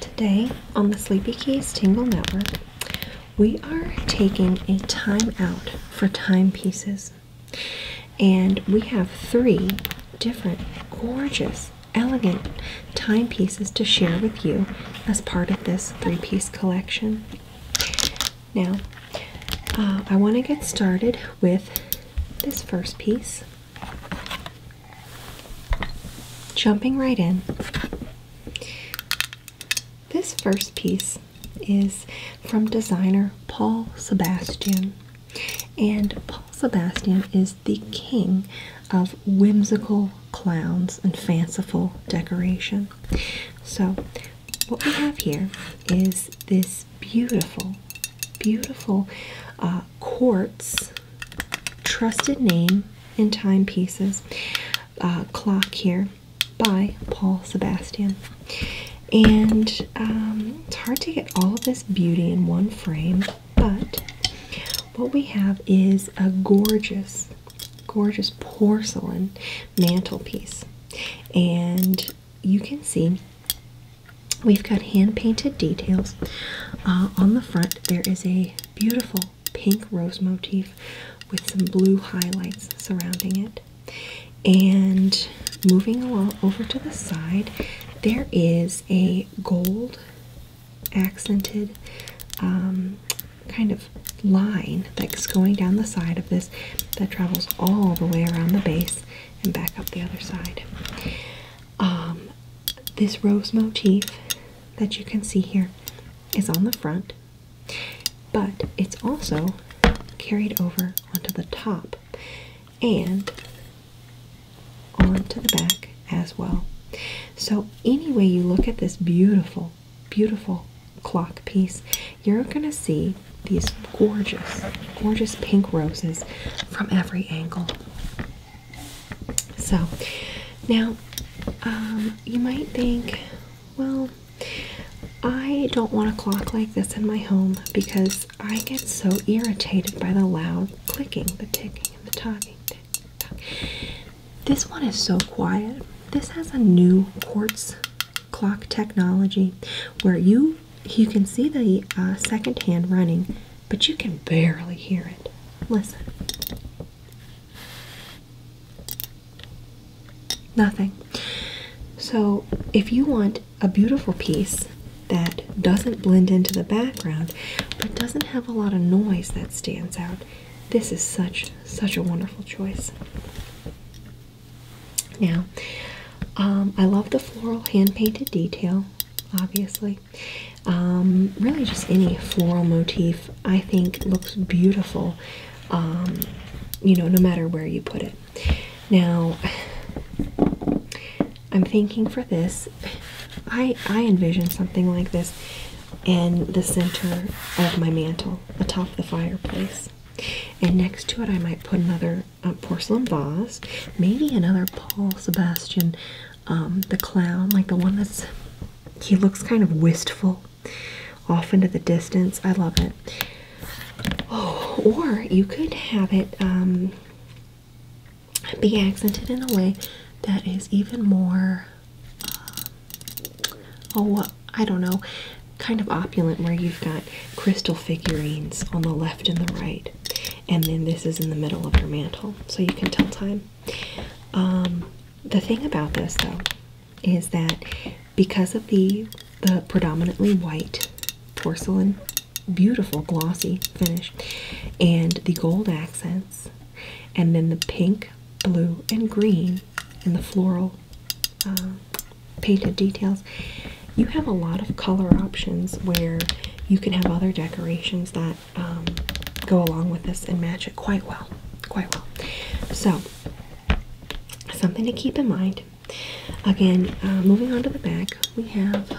Today on the Sleepy Keys Tingle Network, we are taking a time out for timepieces. And we have three different gorgeous, elegant timepieces to share with you as part of this three-piece collection. Now, uh, I want to get started with this first piece. Jumping right in, this first piece is from designer Paul Sebastian. And Paul Sebastian is the king of whimsical clowns and fanciful decoration. So, what we have here is this beautiful, beautiful uh, quartz trusted name in timepieces uh, clock here by Paul Sebastian. And um, it's hard to get all this beauty in one frame, but what we have is a gorgeous, gorgeous porcelain mantelpiece. And you can see We've got hand painted details. Uh, on the front, there is a beautiful pink rose motif with some blue highlights surrounding it. And moving along over to the side, there is a gold accented um, kind of line that's going down the side of this that travels all the way around the base and back up the other side. Um, this rose motif that you can see here is on the front, but it's also carried over onto the top and onto the back as well. So, any way you look at this beautiful, beautiful clock piece, you're going to see these gorgeous, gorgeous pink roses from every angle. So now um, you might think, well, I don't want a clock like this in my home because I get so irritated by the loud clicking, the ticking, and the talking. Tick, This one is so quiet. This has a new quartz clock technology where you you can see the uh, second hand running, but you can barely hear it. Listen. Nothing. So, if you want a beautiful piece that doesn't blend into the background but doesn't have a lot of noise that stands out, this is such such a wonderful choice. Now, um, I love the floral hand painted detail, obviously. Um, really, just any floral motif I think looks beautiful, um, you know, no matter where you put it. Now, I'm thinking for this, I, I envision something like this in the center of my mantle atop the fireplace. And next to it, I might put another uh, porcelain vase. Maybe another Paul Sebastian, um, the clown, like the one that's he looks kind of wistful off into the distance. I love it. Oh, or you could have it um, be accented in a way that is even more, uh, oh, I don't know, kind of opulent, where you've got crystal figurines on the left and the right, and then this is in the middle of your mantle, so you can tell time. Um, the thing about this though is that because of the predominantly white porcelain, beautiful glossy finish, and the gold accents, and then the pink, blue, and green, and the floral. Uh, painted details. You have a lot of color options where you can have other decorations that um, go along with this and match it quite well, quite well. So, something to keep in mind. Again, uh, moving on to the back, we have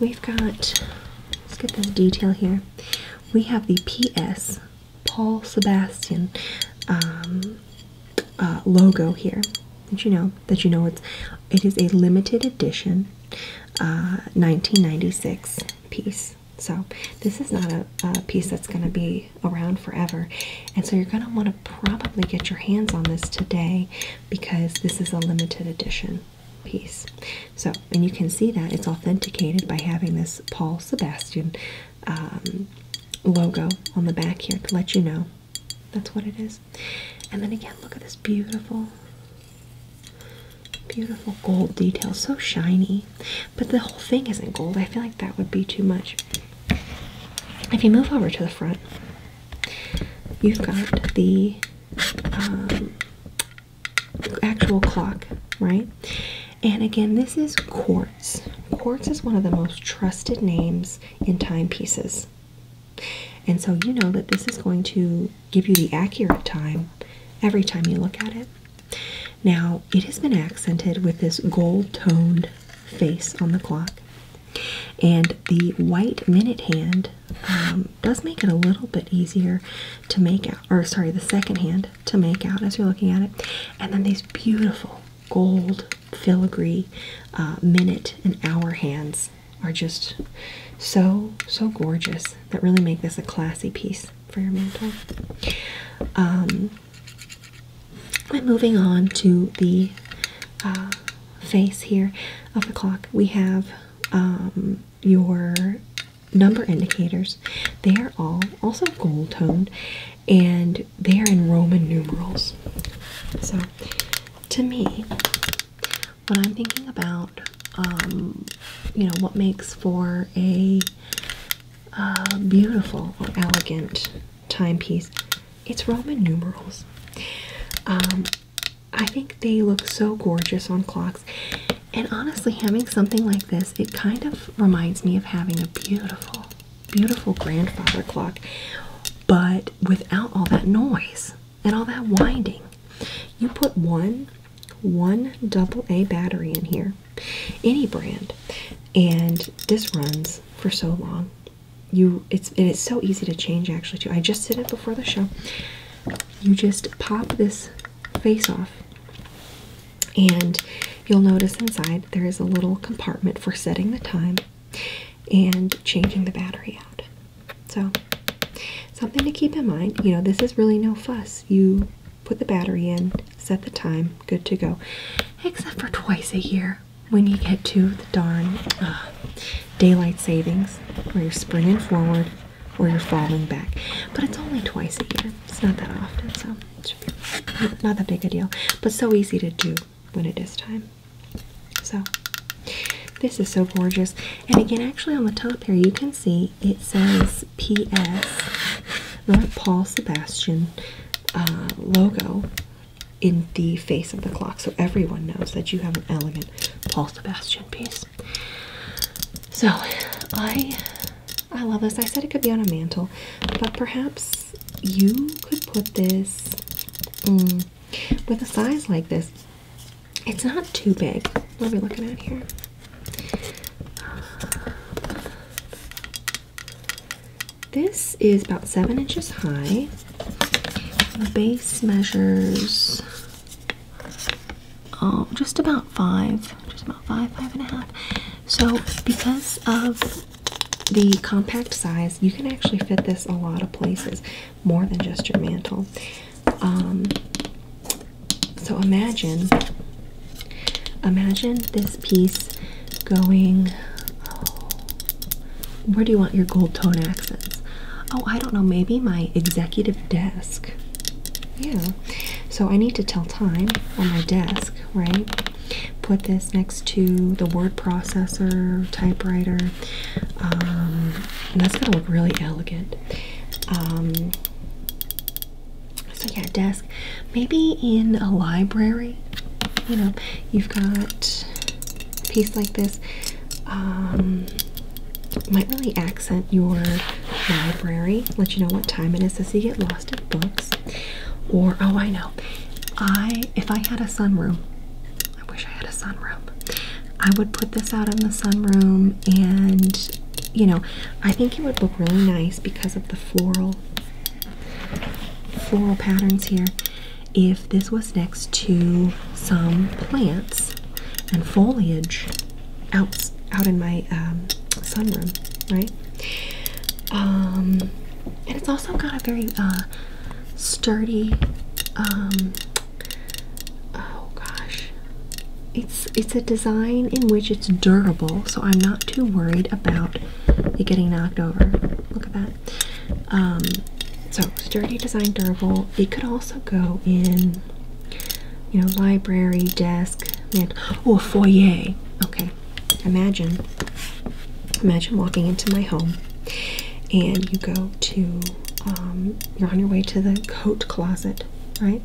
we've got. Let's get this detail here. We have the PS Paul Sebastian um, uh, logo here. Did you know that you know it's it is a limited edition 1996 uh, piece. So this is not a piece that's going to be around forever, and so you're going to want to probably get your hands on this today because this is a limited edition piece. So and you can see that it's authenticated by having this Paul Sebastian um, logo on the back here to let you know that's what it is. And then again, look at this beautiful, beautiful gold detail. So shiny. But the whole thing isn't gold. I feel like that would be too much. If you move over to the front, you've got the um, actual clock, right? And again, this is quartz. Quartz is one of the most trusted names in timepieces. And so you know that this is going to give you the accurate time every time you look at it. Now, it has been accented with this gold toned face on the clock. And the white minute hand um, does make it a little bit easier to make out, or sorry, the second hand to make out as you're looking at it. And then these beautiful gold filigree uh, minute and hour hands are just so, so gorgeous that really make this a classy piece for your mantle. Um, moving on to the uh, face here of the clock, we have um, your number indicators. They are all also gold toned and they are in Roman numerals. So, to me, when I'm thinking about, um, you know, what makes for a uh, beautiful or elegant timepiece, it's Roman numerals. Um, I think they look so gorgeous on clocks, and honestly, having something like this, it kind of reminds me of having a beautiful, beautiful grandfather clock, but without all that noise and all that winding. You put one one double A battery in here, any brand, and this runs for so long. You it's and it's so easy to change actually too. I just did it before the show. You just pop this face off and you'll notice inside there is a little compartment for setting the time and changing the battery out. So, something to keep in mind. You know, this is really no fuss. You put the battery in, set the time, good to go. Except for twice a year when you get to the darn uh, daylight savings where you're springing forward or you're falling back. But it's only twice a year. It's not that often, so not that big a deal. But so easy to do when it is time. So this is so gorgeous. And again, actually on the top here, you can see it says PS, not Paul Sebastian uh, logo in the face of the clock. So everyone knows that you have an elegant Paul Sebastian piece. So I I love this. I said it could be on a mantle, but perhaps you could put this mm, with a size like this. It's not too big. What are we looking at here? This is about seven inches high. The base measures oh, just about five, just about five, five and a half. So because of the compact size, you can actually fit this a lot of places, more than just your mantle. Um, so imagine, imagine this piece going. where do you want your gold tone accents? Oh, I don't know. Maybe my executive desk. Yeah, so I need to tell time on my desk, right? Put this next to the word processor, typewriter. Um, and that's going to look really elegant. Um, so yeah, desk. Maybe in a library, you know, you've got a piece like this. Um, might really accent your library, let you know what time it is as so you get lost in books. Or oh, I know, I if I had a sunroom, I wish I had a sunroom. I would put this out in the sunroom, and you know, I think it would look really nice because of the floral floral patterns here. If this was next to some plants and foliage out out in my um, sunroom, right? Um, and it's also got a very uh, sturdy. Um, oh gosh, it's it's a design in which it's durable, so I'm not too worried about it getting knocked over. Look at that. so sturdy design, durable. It could also go in you know, library, desk, man, oh, foyer. Okay, imagine, imagine walking into my home and you go to, um, you're on your way to the coat closet, right?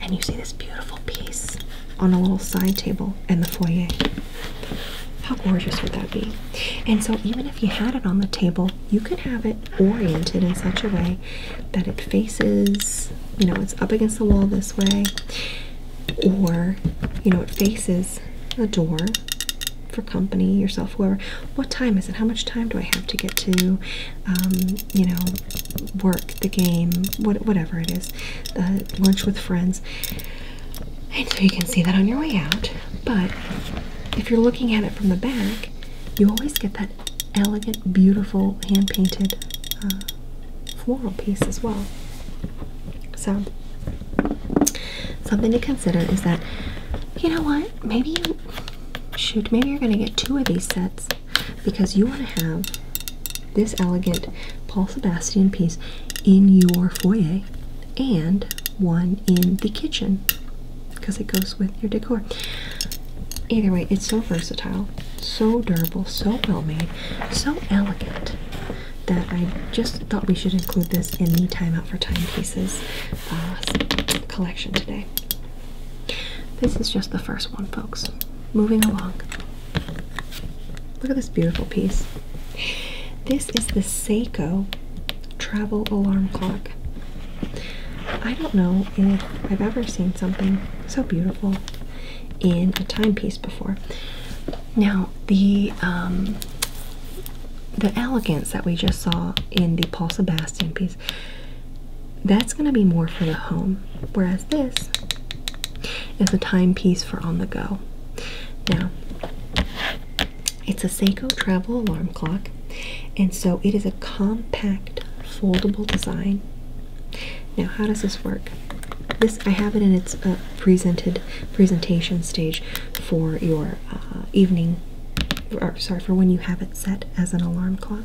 And you see this beautiful piece on a little side table in the foyer. How gorgeous would that be? And so, even if you had it on the table, you could have it oriented in such a way that it faces, you know, it's up against the wall this way, or, you know, it faces a door for company, yourself, whoever. What time is it? How much time do I have to get to, um, you know, work, the game, what, whatever it is, uh, lunch with friends. And so you can see that on your way out. But if you're looking at it from the back, you always get that elegant, beautiful hand painted uh, floral piece as well. So, something to consider is that you know what? Maybe you shoot, maybe you're going to get two of these sets because you want to have this elegant Paul Sebastian piece in your foyer and one in the kitchen because it goes with your decor. Either way, it's so versatile, so durable, so well made, so elegant that I just thought we should include this in the Time Out for Timepieces uh, collection today. This is just the first one, folks. Moving along. Look at this beautiful piece. This is the Seiko travel alarm clock. I don't know if I've ever seen something so beautiful in a timepiece before. Now, the um, the elegance that we just saw in the Paul Sebastian piece, that's going to be more for the home, whereas this is a timepiece for on the go. Now, it's a Seiko travel alarm clock. And so it is a compact foldable design. Now, how does this work? This I have it in its uh, presented presentation stage for your uh, evening, sorry, for when you have it set as an alarm clock.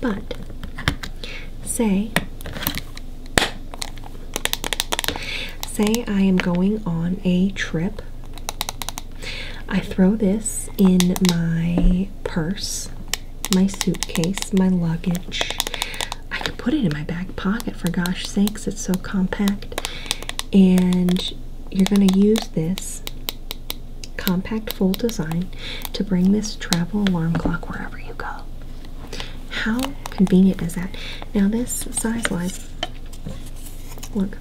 But say, say I am going on a trip I throw this in my purse, my suitcase, my luggage. I can put it in my back pocket for gosh sakes, it's so compact. And you're going to use this compact fold design to bring this travel alarm clock wherever you go. How convenient is that? Now, this size wise, look,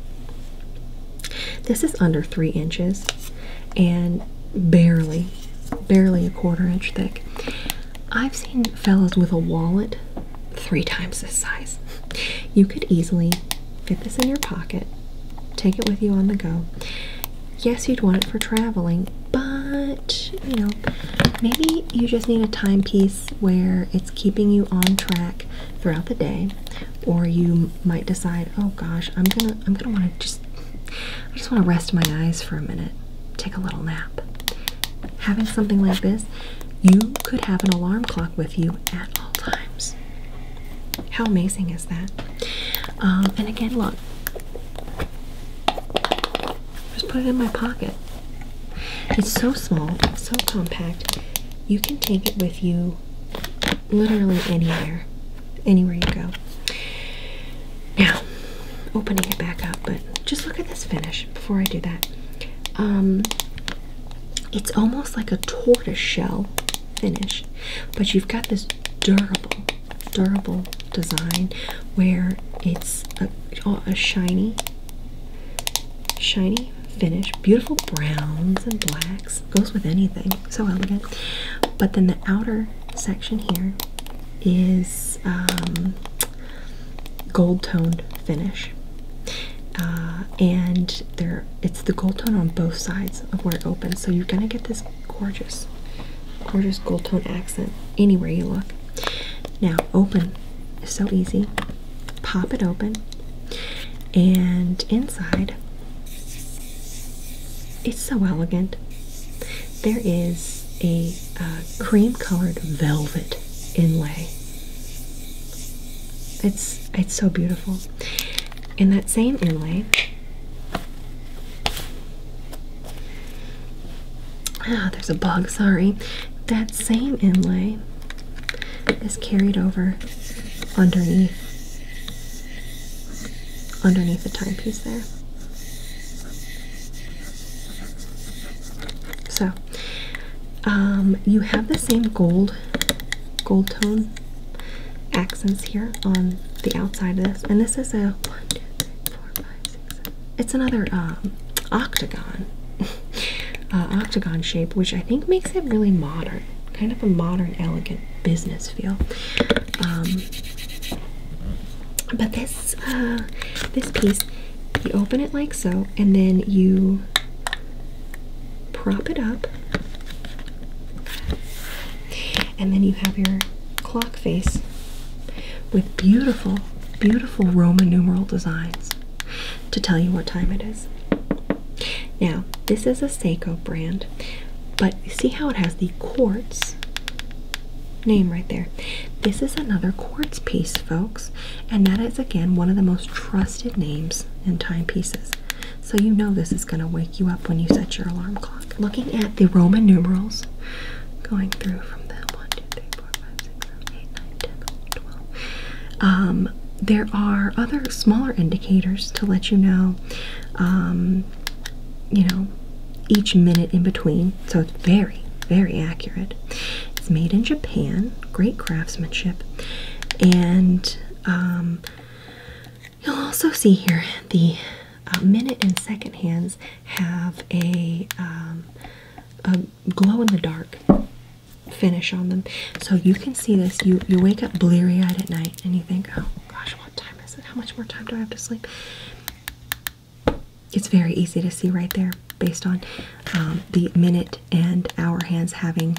this is under three inches and barely, barely a quarter inch thick. I've seen fellas with a wallet three times this size. You could easily fit this in your pocket, take it with you on the go. Yes, you'd want it for traveling, but you know, maybe you just need a timepiece where it's keeping you on track throughout the day, or you might decide, oh gosh, I'm gonna I'm gonna want to just I just want to rest my eyes for a minute, take a little nap. Having something like this, you could have an alarm clock with you at all times. How amazing is that? Um, and again, look, just put it in my pocket. It's so small, so compact. You can take it with you literally anywhere, anywhere you go. Now, opening it back up, but just look at this finish before I do that. Um, it's almost like a tortoise shell finish, but you've got this durable, durable design where it's a shiny, shiny finish, beautiful browns and blacks goes with anything. So elegant. But then the outer section here is um, gold toned finish, uh, and there it's the gold tone on both sides of where it opens. So you're gonna get this gorgeous, gorgeous gold tone accent anywhere you look. Now open so easy. Pop it open, and inside it's so elegant. There is a uh, cream colored velvet inlay. It's it's so beautiful. In that same inlay, ah, there's a bug. Sorry, that same inlay is carried over underneath underneath the timepiece there. So um, you have the same gold gold tone accents here on the outside of this, and this is a It's another um, octagon, uh, octagon shape, which I think makes it really modern kind of a modern, elegant business feel. Um, but this uh, this piece, you open it like so, and then you prop it up, and then you have your clock face with beautiful, beautiful Roman numeral designs to tell you what time it is. Now, this is a Seiko brand, but see how it has the quartz name right there. This is another quartz piece, folks, and that is again one of the most trusted names in timepieces. So you know this is going to wake you up when you set your alarm clock. Looking at the Roman numerals, going through from the 1, 2, 3, 4, 5, 6, 7, 8, 9, 10, 11, 12, um, there are other smaller indicators to let you know, um, you know, each minute in between. So it's very, very accurate. It's made in Japan, great craftsmanship, and um, you'll also see here the uh, minute and second hands have a glow in the dark finish on them. So you can see this. You you wake up bleary eyed at night and you think, oh gosh, what time is it? How much more time do I have to sleep? It's very easy to see right there based on um, the minute and hour hands having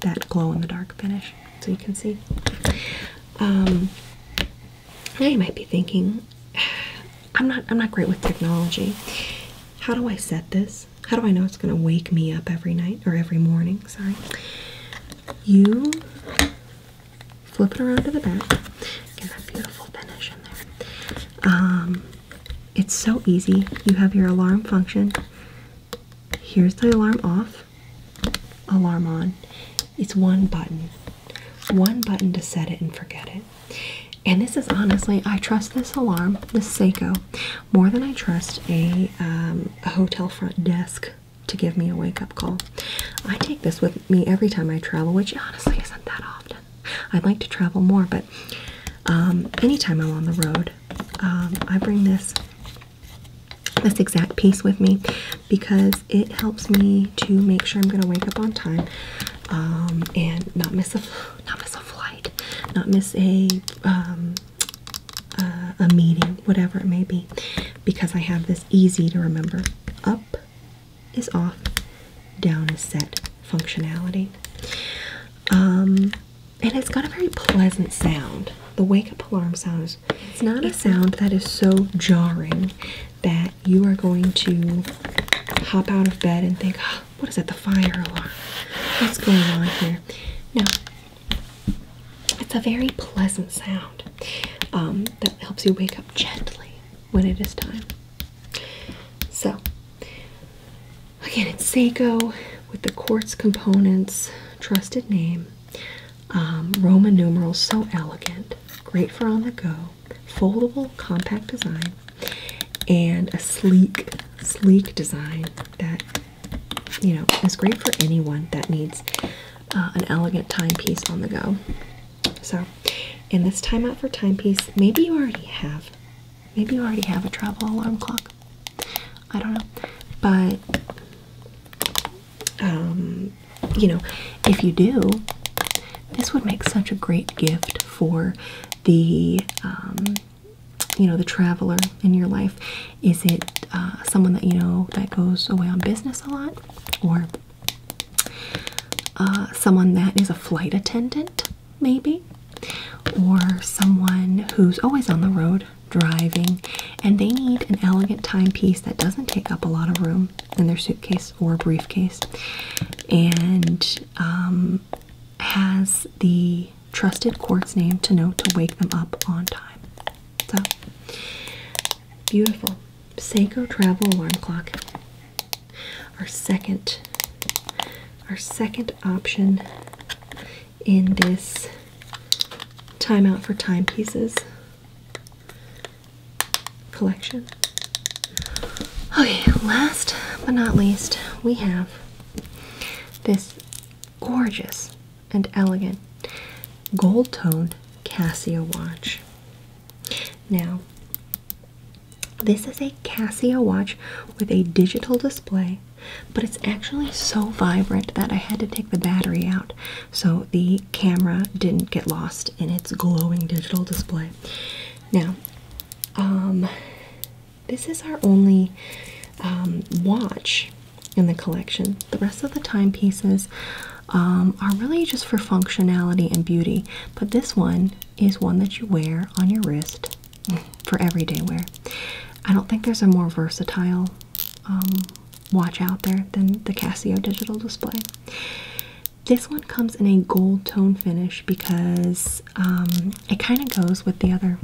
that glow in the dark finish. So you can see. Um, you might be thinking, I'm not I'm not great with technology. How do I set this? how do I know it's going to wake me up every night or every morning? Sorry. You flip it around to the back. Get that beautiful finish in there. Um, it's so easy. You have your alarm function. Here's the alarm off, alarm on. It's one button. One button to set it and forget it. And this is honestly, I trust this alarm, this Seiko, more than I trust um, a, hotel front desk to give me a wake up call. I take this with me every time I travel, which honestly isn't that often. I'd like to travel more, but um, anytime I'm on the road, um, I bring this this exact piece with me because it helps me to make sure I'm going to wake up on time and not miss a not miss a flight, not miss a uh, a meeting, whatever it may be, because I have this easy to remember. Up is off, down is set functionality. Um, and it's got a very pleasant sound. The wake up alarm sound is not a sound that is so jarring that you are going to hop out of bed and think, ah, what is it? The fire alarm. What's going on here? No, it's a very pleasant sound um, that helps you wake up gently when it is time. So, again, it's Seiko with the quartz components, trusted name, um, Roman numerals, so elegant, great for on the go, foldable, compact design and a sleek, sleek design that you know is great for anyone that needs uh, an elegant timepiece on the go. So, in this time out for timepiece, maybe you already have, maybe you already have a travel alarm clock. I don't know, but um, you know, if you do, this would make such a great gift for the um, you know the traveler in your life is it uh, someone that you know that goes away on business a lot or uh, someone that is a flight attendant maybe or someone who's always on the road driving and they need an elegant timepiece that doesn't take up a lot of room in their suitcase or briefcase and um, has the trusted quartz name to know to wake them up on time. So beautiful. Seiko travel alarm clock. Our second our second option in this timeout for timepieces collection. Okay, last but not least, we have this gorgeous and elegant gold toned Casio watch. Now, this is a Casio watch with a digital display, but it's actually so vibrant that I had to take the battery out so the camera didn't get lost in its glowing digital display. Now, um, this is our only um, watch in the collection. The rest of the timepieces um, are really just for functionality and beauty, but this one is one that you wear on your wrist for everyday wear. I don't think there's a more versatile um, watch out there than the Casio digital display. This one comes in a gold tone finish because it kind of goes with the other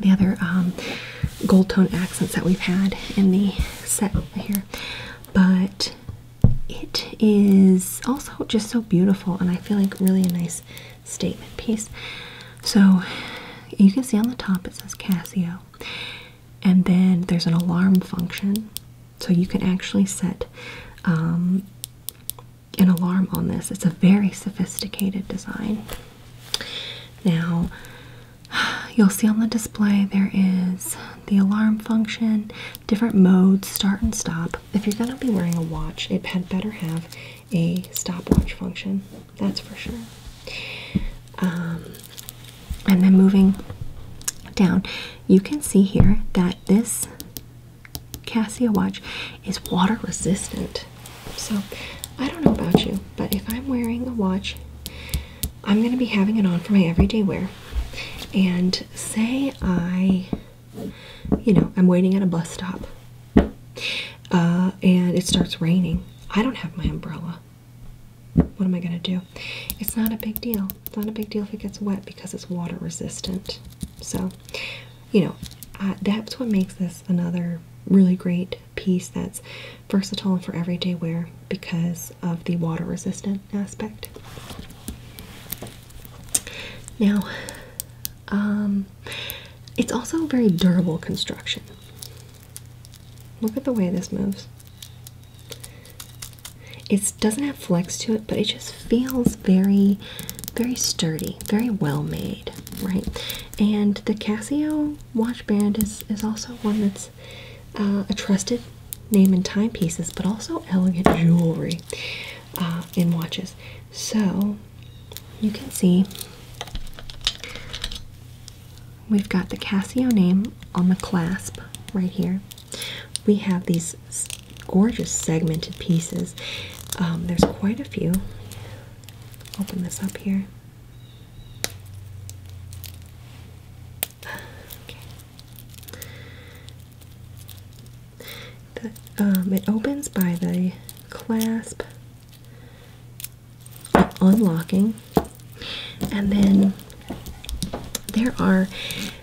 the other um, gold tone accents that we've had in the set here, but it is also just so beautiful and I feel like really a nice statement piece. So you can see on the top it says Casio, and then there's an alarm function, so you can actually set um, an alarm on this. It's a very sophisticated design. Now, you'll see on the display there is the alarm function, different modes, start and stop. If you're going to be wearing a watch, it had better have a stopwatch function, that's for sure. Um, and then moving down, you can see here that this Cassia watch is water resistant. So I don't know about you, but if I'm wearing a watch, I'm going to be having it on for my everyday wear. And say I, you know, I'm waiting at a bus stop uh, and it starts raining. I don't have my umbrella. What am I going to do? It's not a big deal. It's not a big deal if it gets wet because it's water resistant. So, you know, uh, that's what makes this another really great piece that's versatile for everyday wear because of the water resistant aspect. Now, um, it's also a very durable construction. Look at the way this moves. It doesn't have flex to it, but it just feels very, very sturdy, very well made, right? And the Casio watch band is is also one that's uh, a trusted name in timepieces, but also elegant jewelry uh, in watches. So you can see we've got the Casio name on the clasp right here we have these gorgeous segmented pieces. Um, there's quite a few. Open this up here. Um, it opens by the clasp unlocking, and then there are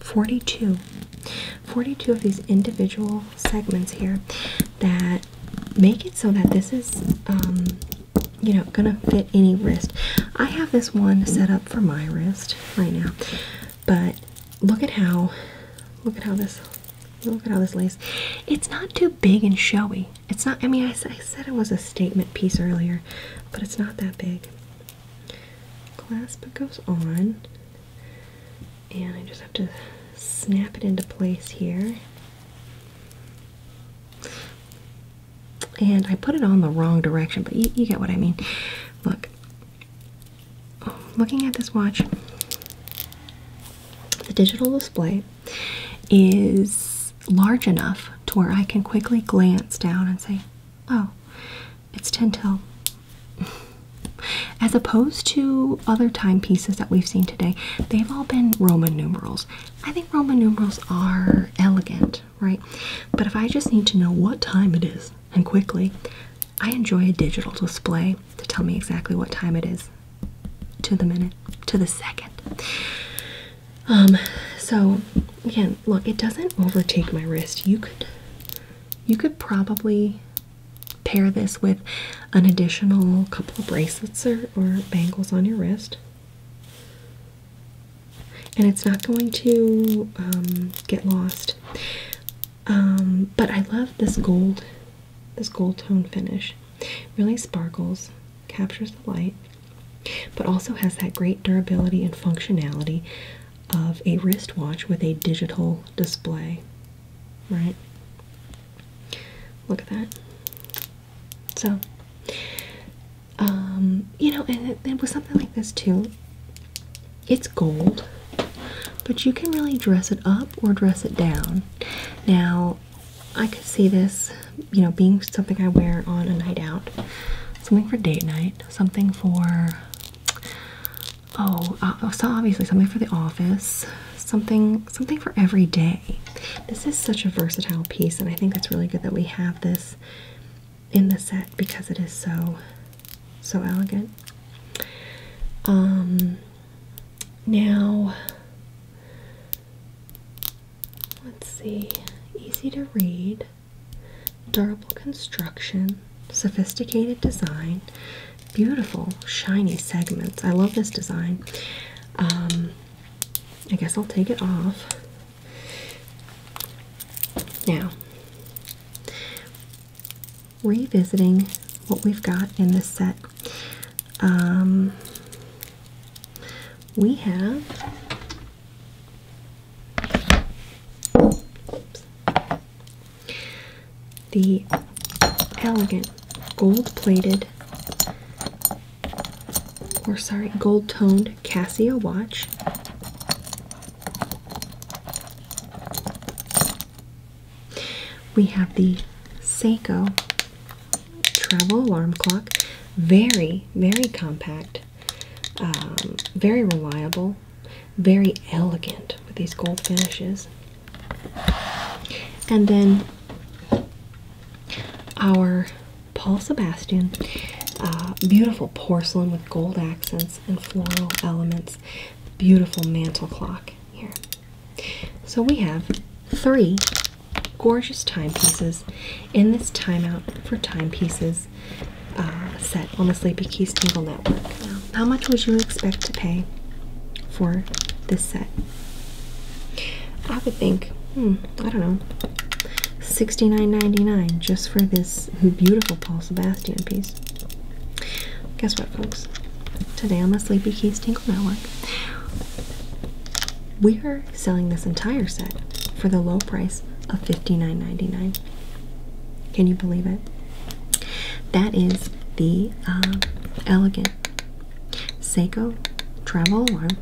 42 42 of these individual segments here that make it so that this is um, you know gonna fit any wrist i have this one set up for my wrist right now but look at how look at how this look at how this lays. it's not too big and showy it's not i mean i, I said it was a statement piece earlier but it's not that big clasp it goes on and I just have to snap it into place here. And I put it on the wrong direction, but you, get what I mean. Look, looking at this watch, the digital display is large enough to where I can quickly glance down and say, oh, it's Tintel, As opposed to other timepieces that we've seen today, they've all been Roman numerals. I think Roman numerals are elegant, right? But if I just need to know what time it is and quickly, I enjoy a digital display to tell me exactly what time it is to the minute, to the second. Um, so again, look, it doesn't overtake my wrist. You could you could probably pair this with an additional couple of bracelets or, bangles on your wrist. And it's not going to um, get lost. Um, but I love this gold, this gold tone finish. Really sparkles, captures the light, but also has that great durability and functionality of a wristwatch with a digital display, right? Look at that. So, um, you know, and it was something like this too. It's gold, but you can really dress it up or dress it down. Now, I could see this, you know, being something I wear on a night out, something for date night, something for Oh, uh, so obviously something for the office, something something for every day. This is such a versatile piece, and I think it's really good that we have this in the set because it is so so elegant. Um, now let's see, easy to read. Durable construction, sophisticated design, beautiful shiny segments. I love this design. Um, I guess I'll take it off. Now, revisiting what we've got in this set. Um, we have the elegant gold-plated or sorry, gold-toned Casio watch. We have the Seiko travel alarm clock. Very, very compact. Um, very reliable, very elegant with these gold finishes. And then our Paul Sebastian, uh, beautiful porcelain with gold accents and floral elements, beautiful mantel clock here. So we have three gorgeous timepieces in this timeout for timepieces uh, set on the Sleepy Keys Tingle Network. how much would you expect to pay for this set? I would think, hmm, I don't know, $69.99 just for this beautiful Paul Sebastian piece. Guess what, folks? Today on the Sleepy Keys Tingle Network, we are selling this entire set for the low price of $59.99. Can you believe it? That is the um, Elegant Seiko Travel Alarm,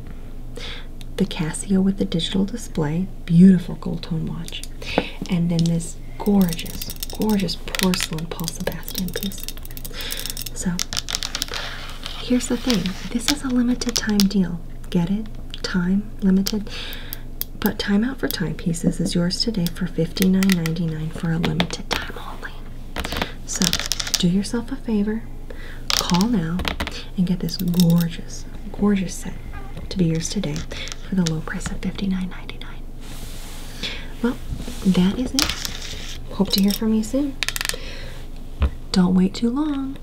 the Casio with the digital display, beautiful gold tone watch, and then this gorgeous, gorgeous porcelain Paul Sebastian piece. So here's the thing this is a limited time deal. Get it? Time limited. But Time Out for Timepieces is yours today for $59.99 for a limited time only. So do yourself a favor, call now, and get this gorgeous, gorgeous set to be yours today for the low price of $59.99. Well, that is it. Hope to hear from you soon. Don't wait too long.